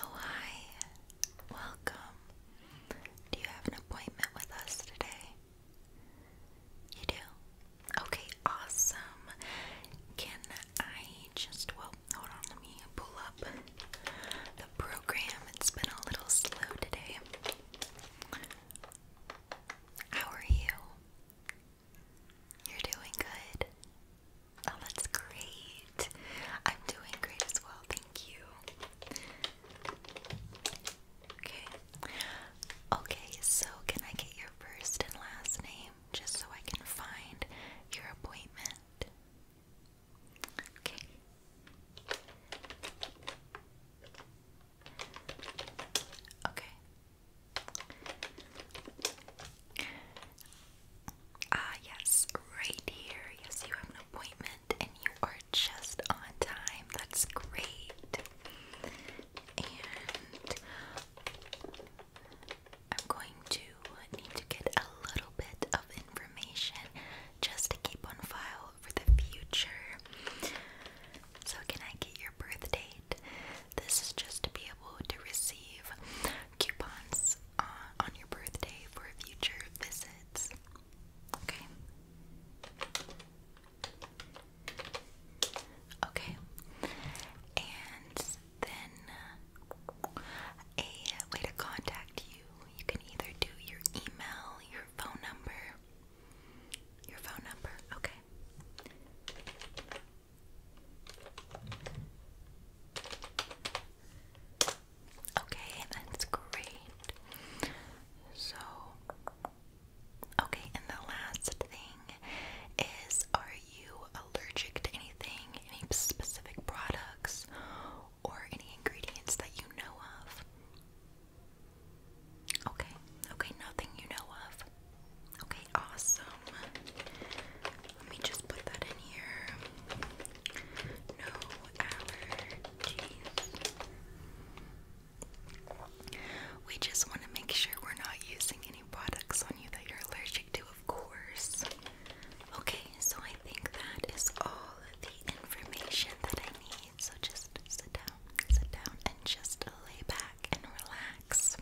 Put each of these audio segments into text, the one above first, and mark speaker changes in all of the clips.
Speaker 1: Oh, hi. Welcome. Do you have an appointment with us today? You do? Okay, awesome. Can I just, well, hold on, let me pull up the program. It's been a little slow today. How are you? You're doing good. Oh, that's great. I'm doing great as well. Thank you. Okay. Okay, so can I get your first and last name just so I can find your appointment? Okay. Okay. Ah, yes, right here. Yes, you have an appointment and you are just on time. That's great. And I'm going to need to get a little bit of information just to keep on file goal for the future. So, can I get your birth This is just to be able to receive coupons uh, on your birthday for future visits. Okay. Okay. And then uh, a way to contact you. You can either do your email, your phone number? Your phone number, okay. Okay, that's great. So, okay, and the last thing is are you allergic to anything? Any specific products? or any ingredients that you know of? Okay, okay, nothing you know of. Okay, awesome. Let me just put that in here. No allergies. We just want to make sure we're not using any products on you that you're allergic to, of course. Okay, so I think that is all information that I need. So just sit down, sit down, and just lay back and relax.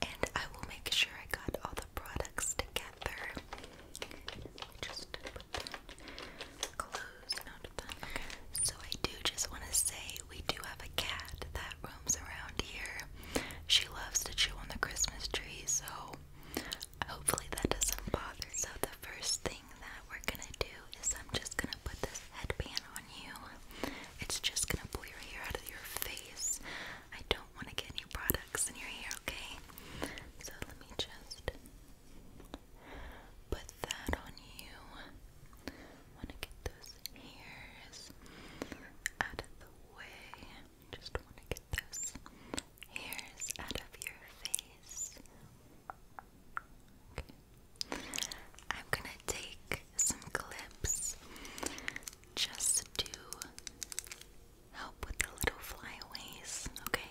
Speaker 1: And I will make sure I got all the products together. Just close out of them. So I do just want to say we do have a cat that roams around here. She loves to chew on the Christmas tree, so hopefully that doesn't bother. So the first thing that we're gonna do is I'm just gonna put this headband on you. It's just gonna pull your hair out of your face. I don't wanna get any products in your hair, okay? So let me just put that on you. Wanna get those hairs out of the way. Just wanna get those hairs out of your face eyes. Okay. I'm gonna take some clips just to help with the little flyaways, okay?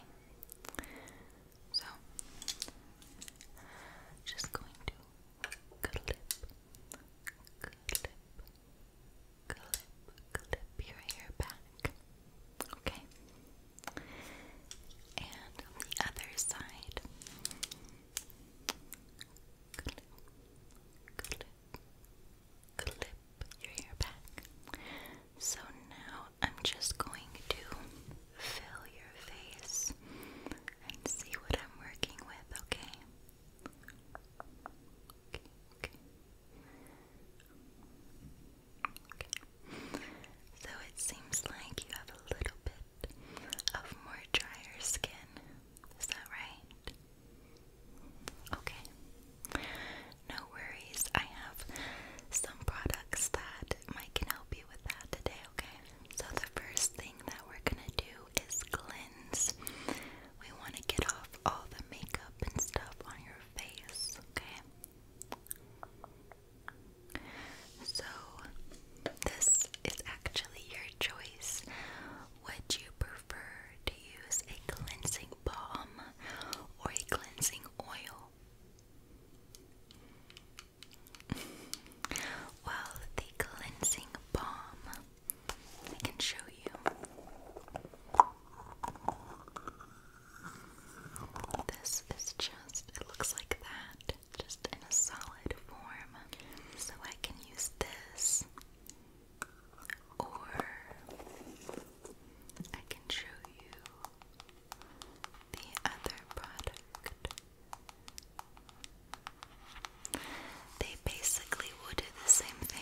Speaker 1: So, just going to clip, clip, clip, clip your hair back. Okay. And the other side. Clip, clip, clip your hair back. So now I'm just going to fill your face and see what I'm working with, okay. So it seems like you have a little bit of more drier skin. Is that right? Okay. No worries. I have some products that might can help you with that today, okay? So the first thing that we're gonna do is cleanse. We wanna get off all the makeup and stuff on your face, okay? So, this is actually your choice. Would you prefer to use a cleansing balm or a cleansing oil? well, the cleansing balm, I can show you. This is just, it looks like that, just in a solid form. So I can use this, or I can show you the other product. They basically will do the same thing.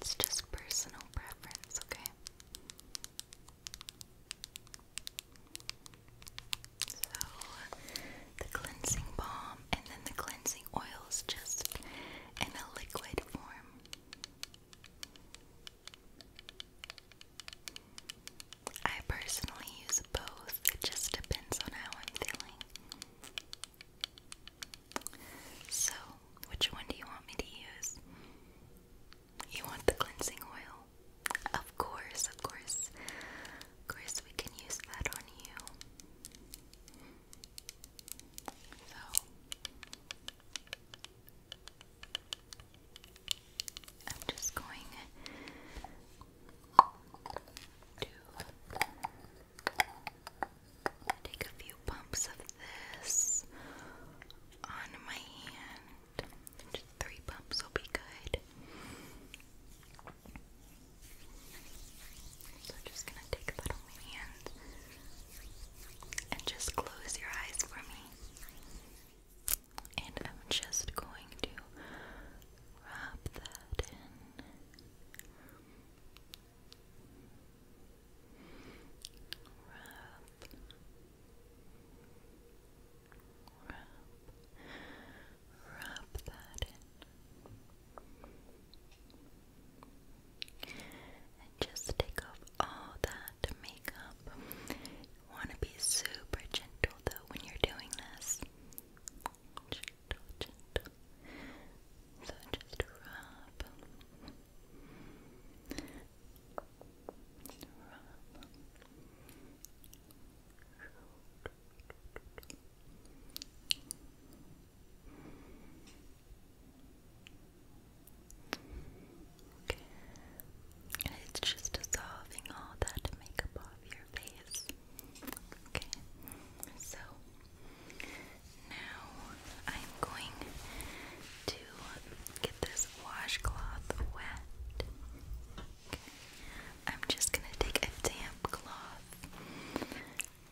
Speaker 1: It's just personal preference, okay? So, the cleansing balm and then the cleansing oils just in a liquid form. I personally use both, it just depends on how I'm feeling. So, which one do you want me to use? You want the cleansing oil? Of course, of course. Of course, we can use that on you. So, I'm just going to Take a few pumps of this on my hand. Just three pumps will be good. So just gonna take that on my hand and just close your eyes for me. And I'm just going to rub that in. Rub, rub that in, and just take off all that makeup. You want to be super gentle though when you're doing this. So just rub. rub. Okay. it's just dissolving all that makeup off your face. Okay. So now I'm going to get this washcloth wet. I'm just gonna take a damp cloth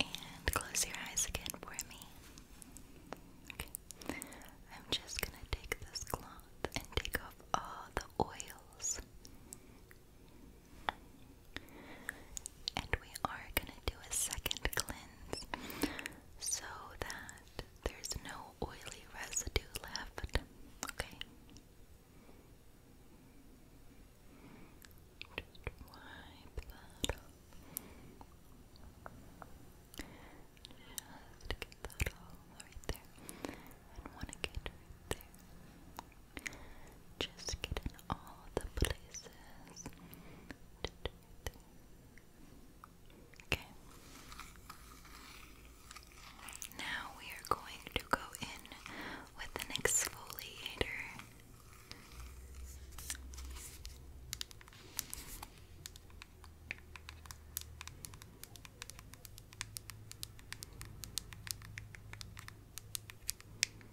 Speaker 1: and close your eyes again for me. Okay. I'm just gonna take this cloth and take off all the oils. And we are going to do a second cleanse so that there's no oily residue left. Okay? wipe that off. Just get that all right there. And want to get right there. Just get in all the places. Okay. Now we are going to go in with an exfoliator.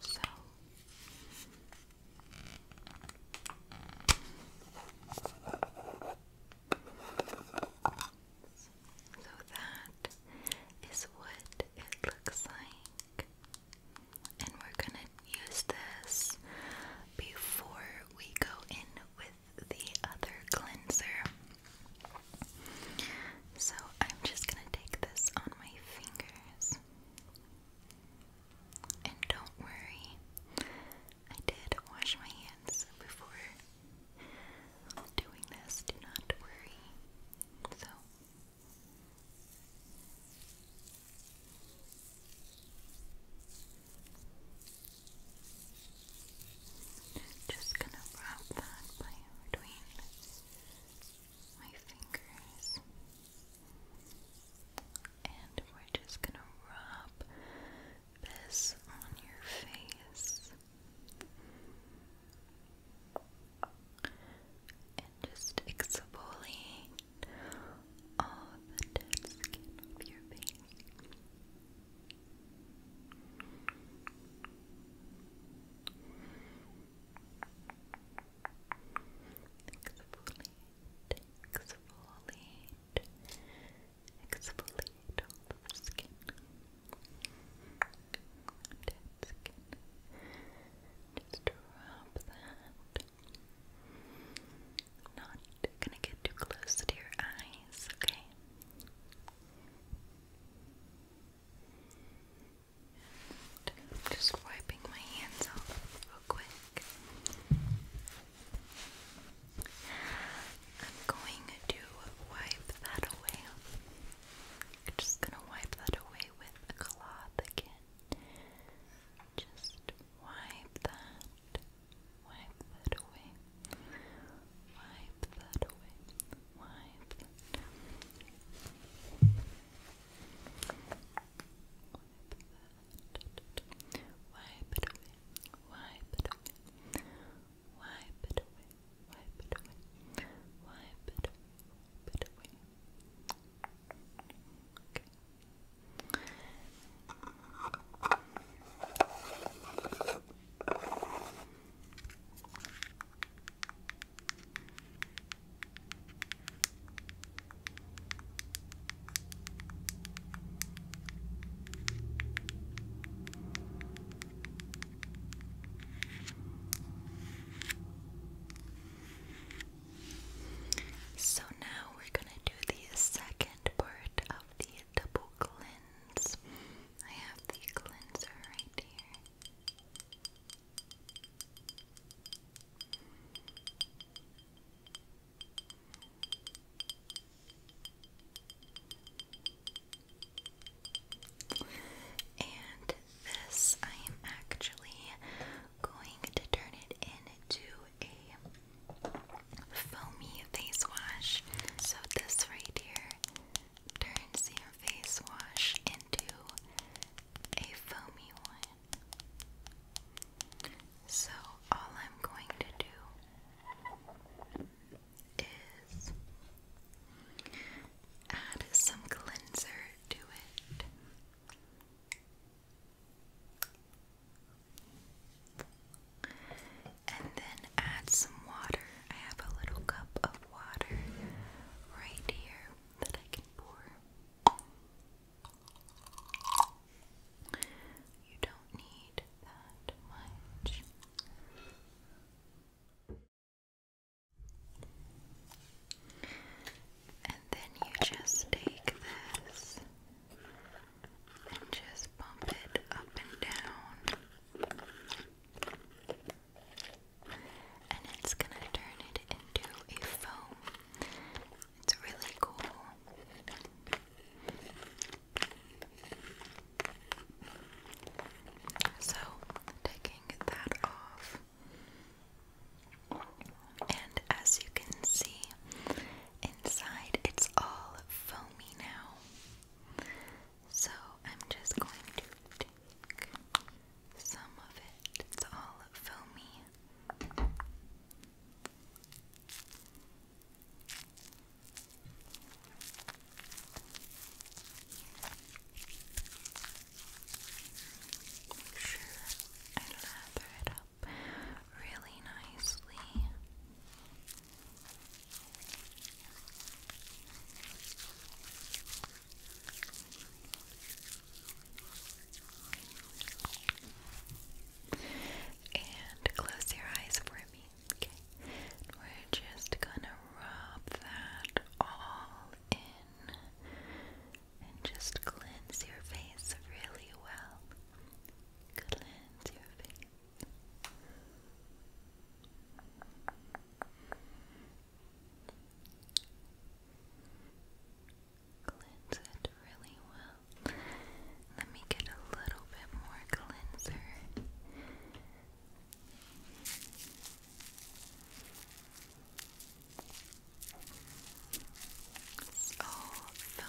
Speaker 1: So so that is what it looks like. And we're going to use this before we go in with the other cleanser. So I'm just gonna take this on my fingers. And don't worry, I did wash my hands before doing this, do not worry. So just gonna wrap that by between my fingers. And we're just gonna rub this on your face. And just exfoliate all the dead skin off your face. Exfoliate, exfoliate, exfoliate all the skin. Dead skin. Just rub that. Not gonna get too close to your eyes, okay? just wiping my hands off real quick. I'm going to wipe that away. just going to wipe that away with a cloth again. Just wipe that. Wipe that away. Wipe that away wipe. Wipe it away. Wipe it away. Wipe it away. Wipe it away. Wipe it away. Wipe it away. So now we're going to do the second part of the double cleanse. I have the cleanser right here. And this, I am actually going to turn it into a foamy face wash. So, this right here turns your face wash into a foamy one. So, all I'm going to do is add some cleanser to it. And then add some water I have a little cup of water right here that I can pour. You don't need that much. And then you just take this and just bump it up and down and it's gonna turn it into a foam. It's really cool. So, taking that off. And as you can see, inside it's all foamy now. So I'm just going to take some of it. It's all filmy. Make sure I lather it up really nicely. And close your eyes for me, okay? We're just gonna rub that all in and just cleanse your face really well. Cleanse your face. Cleanse it really well. Let me get a little bit more cleanser. So filmy.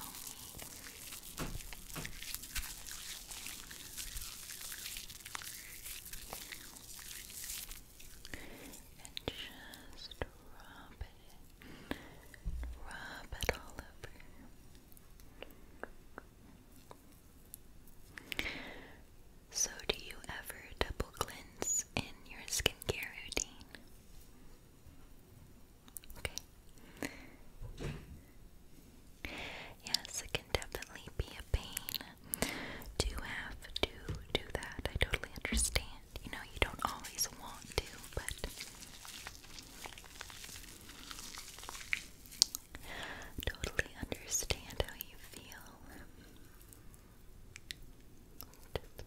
Speaker 1: And just rub it Rub it all over. So, do you ever double cleanse in your skincare routine? Okay. Yes, it can definitely be a pain to have to do that. I totally understand. You know, you don't always want to, but totally understand how you feel. Just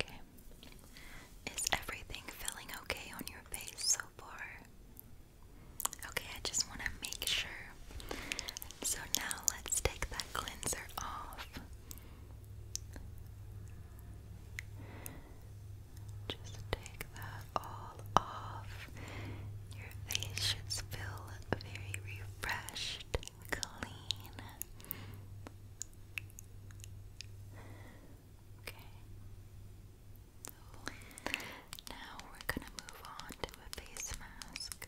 Speaker 1: Okay. Is everything feeling okay on your face so far? Okay, I just want to make sure. So now let's take that cleanser off. Just take that all off. Your face should feel very brushed, clean. Okay. Now we're going to move on to a face mask.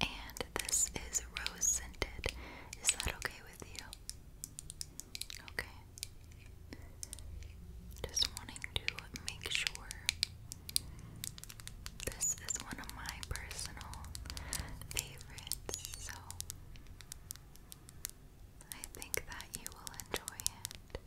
Speaker 1: And this is rose scented. Is that okay with you. Okay. Just wanting to make sure this is one of my personal favorites, so I think that you will enjoy it.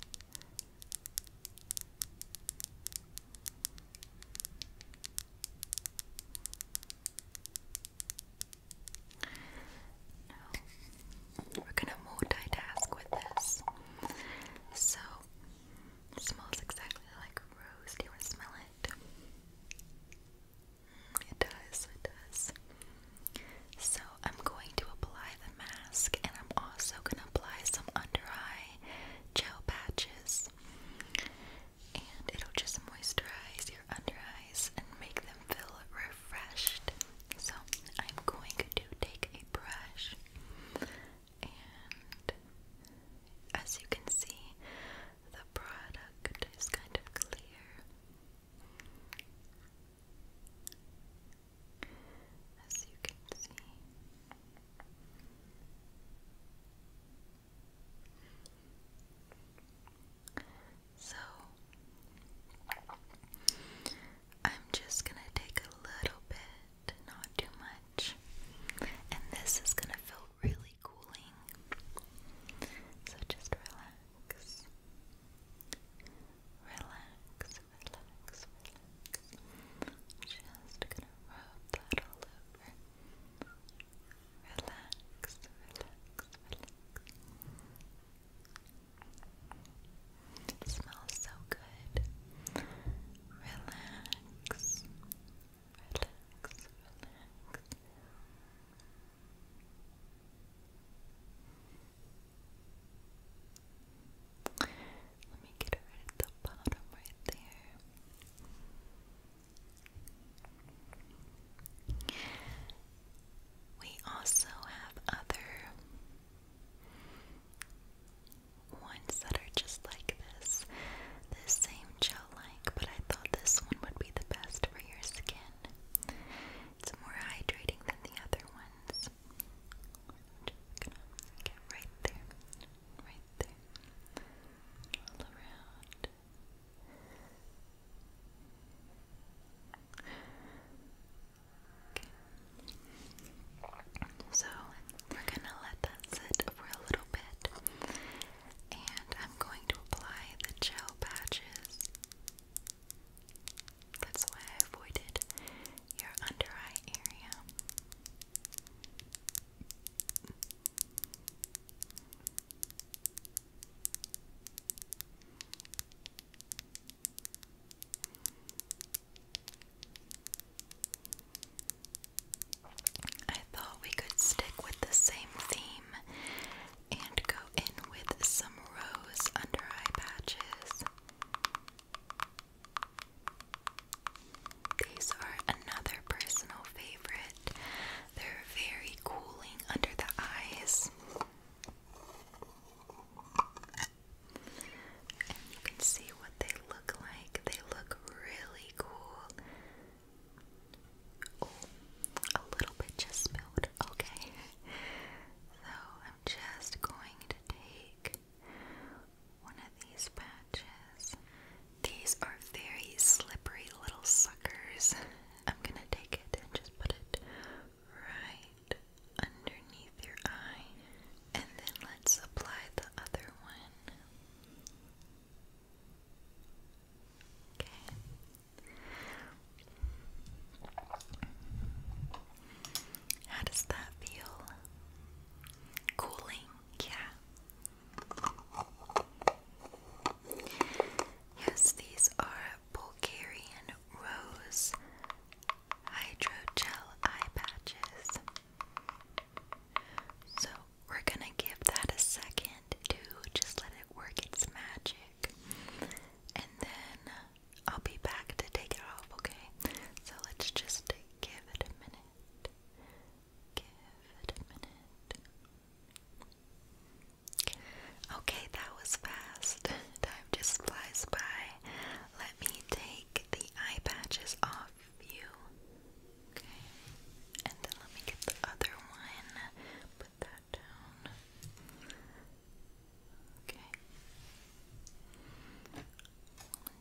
Speaker 1: We're gonna multitask with this. So smells exactly like rose. Do you want to smell it? Mm, it does, it does. So I'm going to apply the mask and I'm also gonna apply some under eye gel patches and it'll just moisturize your under eyes and make them feel refreshed. So, I'm going to take a brush, and as you can see, the product is kind of clear. As you can see, so I'm just going to take a little bit, not too much, and this is going to feel really cooling. So just relax. Relax, relax, relax. Just gonna rub that all over relax, relax. It smells so good. Relax, relax, relax. Let me get it at the bottom right there. We also have other ones that are just like this, the same gel like, but I thought this one would be the best for your skin. It's more hydrating than the other ones. just gonna get right there, right there, all around. So we're gonna let that sit for a little bit, and I'm going to apply the gel patches. That's why I avoided your under eye area. I thought we could stick with the same theme and go in with some rose under eye patches. These are another personal favorite. They're very cooling under the eyes. And you can see what they look like. They look really cool. Oh, a little bit just spilled. Okay. So I'm just going to take one of these patches these are very slippery little suckers. I'm gonna take it and just put it right underneath your eye. And then let's apply the other one. Okay. How does that feel? Cooling, yeah. Yes, these are Bulgarian Rose Hydrogel Eye Patches. So we're gonna give that a second to just let it work its magic. And then I'll be back to take it off, okay? So let's just give it a minute. Okay, that was fast. Time just flies by. Let me take the eye patches off you. And then let me get the other one. Put that down. Okay.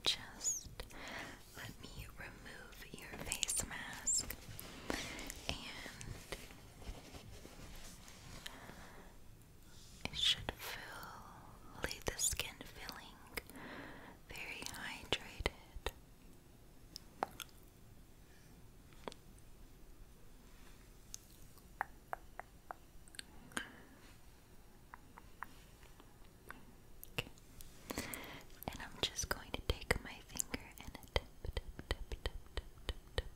Speaker 1: Just let me remove your face mask and it should feel leave the skin feeling very hydrated. And I'm just going to take my finger and tap, tap, tap, tap, tap, tap, tap,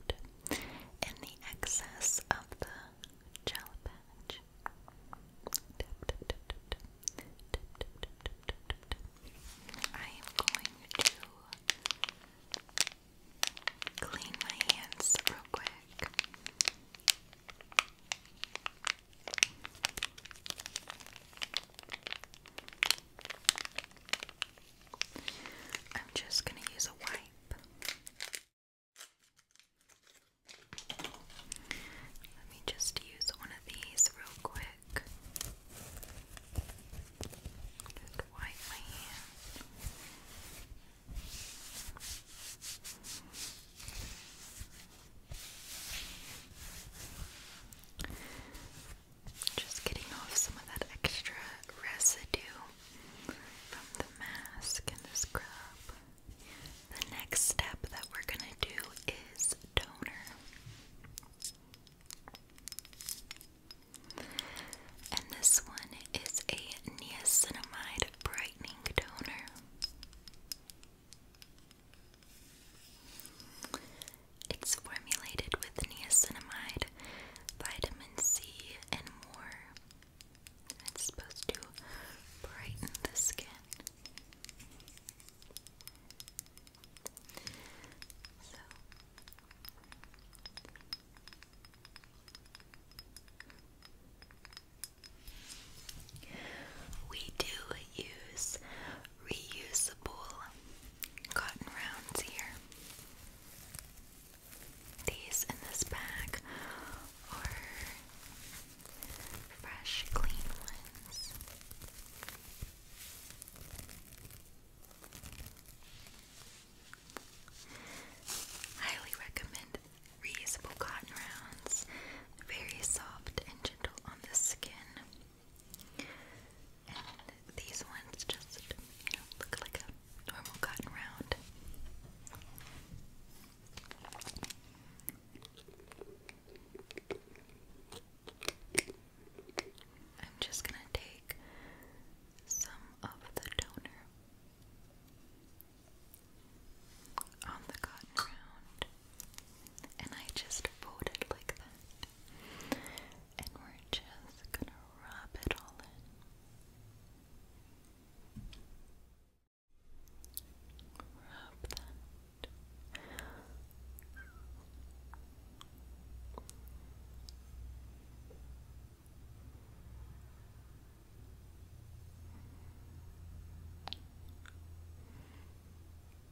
Speaker 1: tap. And the excess of the gel patch. I am going to clean my hands real quick. I'm just going to use a wipe. Let me just use one of these real quick. Just wipe my hand. Just getting off some of that extra residue from the mask and the scrub. The next step that we're going to do is toner. And this one is a niacinamide brightening toner. It's formulated with niacinamide, vitamin C, and more. It's supposed to brighten the skin. So. We do use reusable cotton rounds here. These in this bag are fresh, clean ones. Highly recommend reusable cotton rounds, very soft and gentle on the skin. And these ones just, you look like a normal cotton round. I'm just going to take some of the toner on the cotton round and I just fold like that. And we're just gonna rub it all in. Rub that.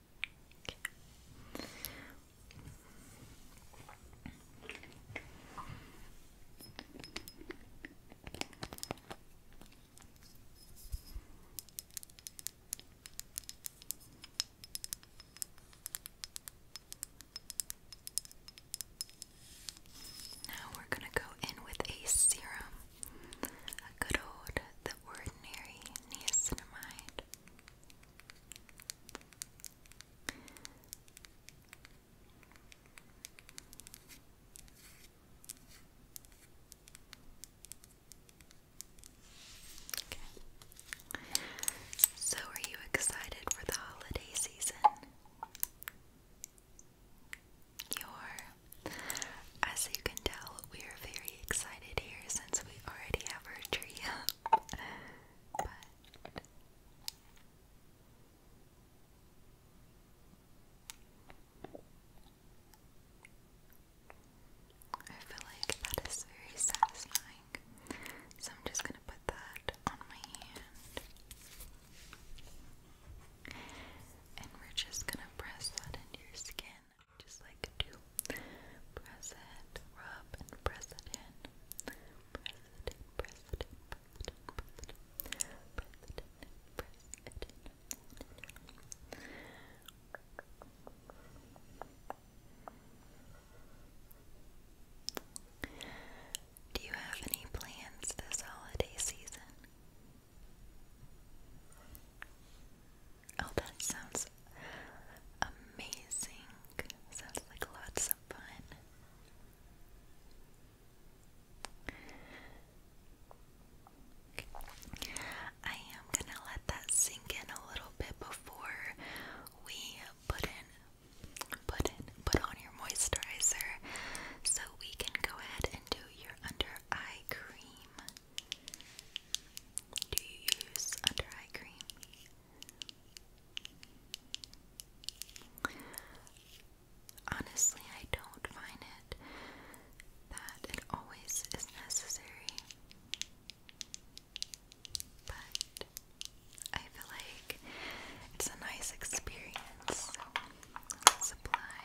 Speaker 1: Okay. Now we're going to go in with a serum, a good old, the ordinary niacinamide. So, are you excited for the holiday season? You're as you can tell, we are very excited here since we already have our tree I feel like that is very satisfying. So I'm just gonna put that on my hand. And we're just gonna press that into your skin just like to press it, rub and press it in. Press it press it press it press it press it press it Do you have any plans this holiday season? Oh, that sounds amazing. Sounds like lots of fun. I am gonna let that sink in a little bit before we put in put in put on your moisturizer so we can go ahead and do your under eye cream. Do you use under eye cream? Honestly, I don't find it that it always is necessary. But I feel like it's a nice experience. So let's apply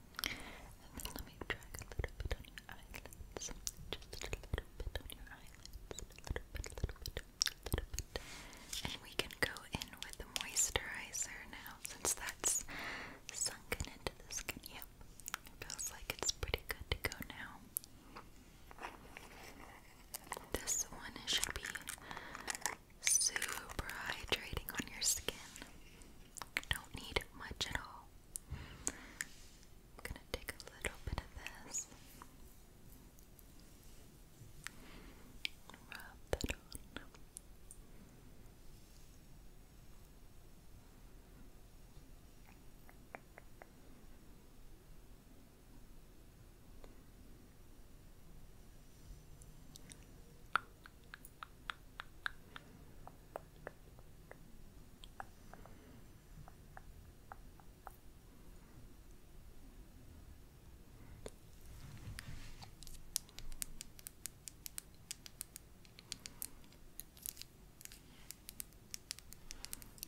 Speaker 1: And let me drag a little bit on your eyelids. Just a little bit on your eyelids. A little bit, little bit, little bit. And we can go in with the moisturizer now since that's sunken into the skin. Yep. Feels like it's pretty good to go now. This one should be super hydrating on your skin don't need much at all. I'm gonna take a little bit of this. Rub that on.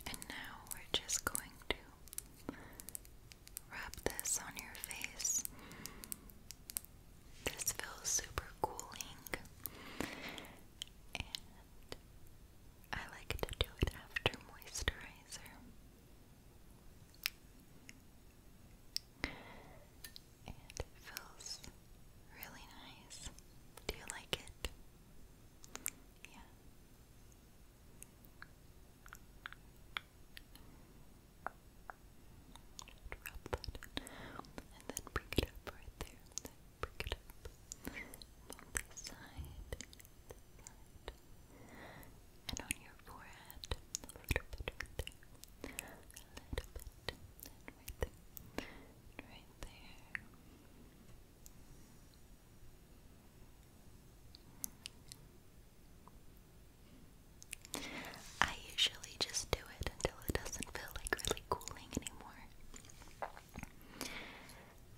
Speaker 1: And now we're just going to rub this on your face this feels super cooling, and I like to do it after moisturizer. And it feels really nice. Do you like it? Yeah. Drop that and then bring it up right there, and it up on this side, and on your forehead, a little bit right there, a little bit, right there, right there. I usually just do it until it doesn't feel like really cooling anymore.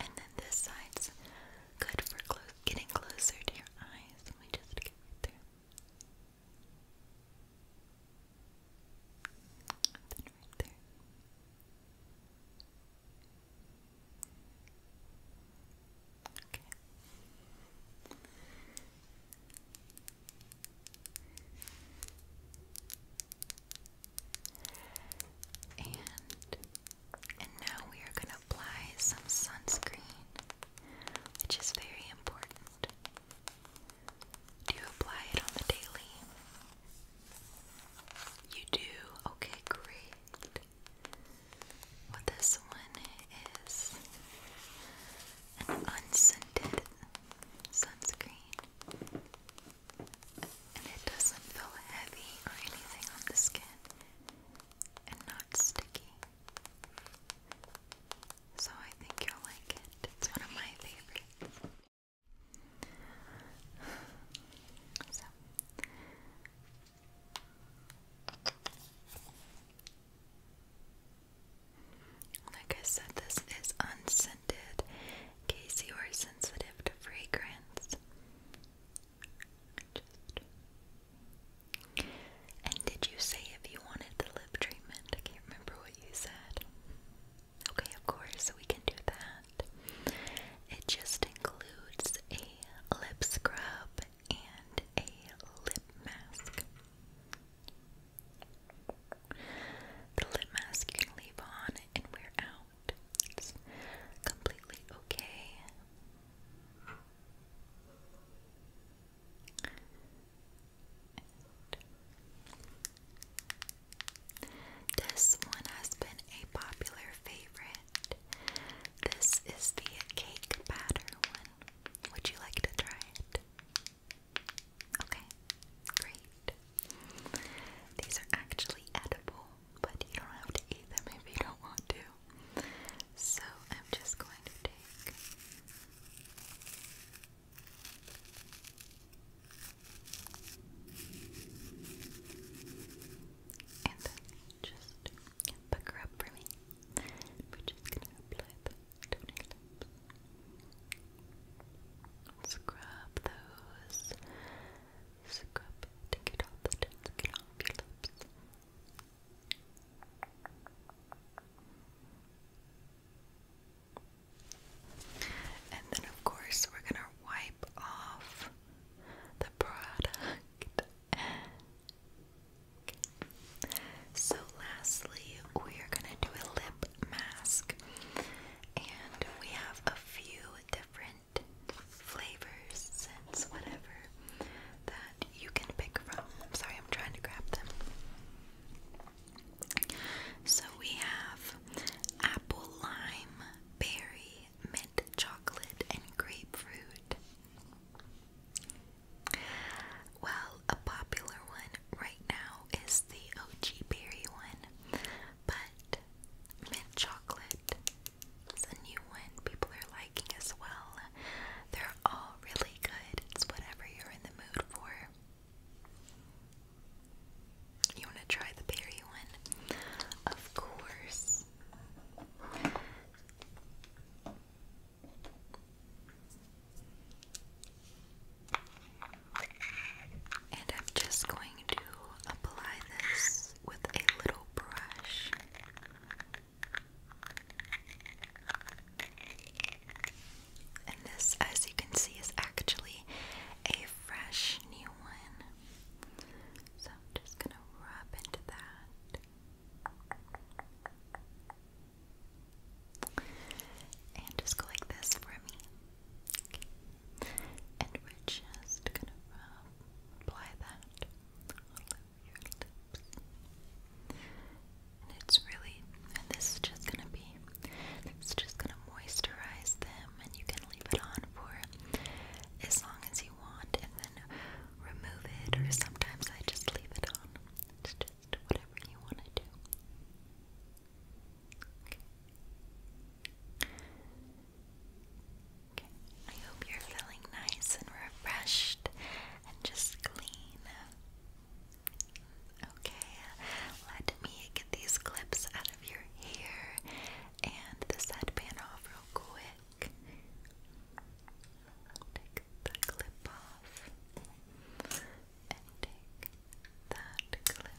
Speaker 1: And then this side's good for getting closer to your eyes. Let me just get right there. then right there. Okay. And and now we are going to apply some sunscreen, which is very important. Do you apply it on the daily? You do? Okay, great. Well, this one is an unscented sunscreen. And it doesn't feel heavy or anything on the skin. And not sticky. So I think you'll like it. It's one of my favorites. So like I said, this is unscented in case you are sensitive to fragrance. And did you say if you wanted the lip treatment? I can't remember what you said. Okay, of course, we can do that. It just includes a lip scrub and a lip mask. The lip mask you leave on and wear out. completely okay. this one has been a popular favorite. This is the cake batter one. Would you like to try it? Okay, great. These are actually edible, but you don't have to eat them if you don't want to. So I'm just going to take. And then just pucker up for me. We're just gonna apply them Let's grab those. Scrub to get off the tins, get off your lips. And then, of course, we're gonna wipe off the product. So lastly, we're gonna do a lip mask, and we have a few different flavors, scents, whatever that you can pick from. I'm sorry, I'm trying to grab them. So we have apple, lime, berry, mint chocolate, and grapefruit. Well, a popular one right now is the OG berry one, but mint chocolate is a new one people are liking as well. They're all really good. It's whatever you're in the mood for. You want to try the berry one? Of course. And I'm just going to apply this with a little brush. And this, as you can see, is actually a fresh new one. So I'm just going to rub into that. And just go like this for me. And we're just gonna apply that all your lips. it's really, and this is just gonna be, it's just gonna moisturize them, and you can leave it on for as long as you want, and then remove it, or sometimes I just leave it on whatever you want to do. Okay. I hope you're feeling nice and refreshed and just clean. Okay, let me get these clips out of your hair and this headband off real quick. Take the clip off and take that clip.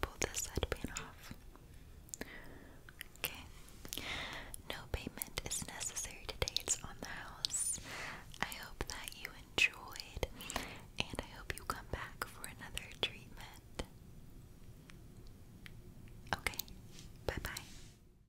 Speaker 1: Pull this headband off. Okay. No payment is necessary today. It's on the house. I hope that you enjoyed and I hope you come back for another treatment. Okay. Bye-bye.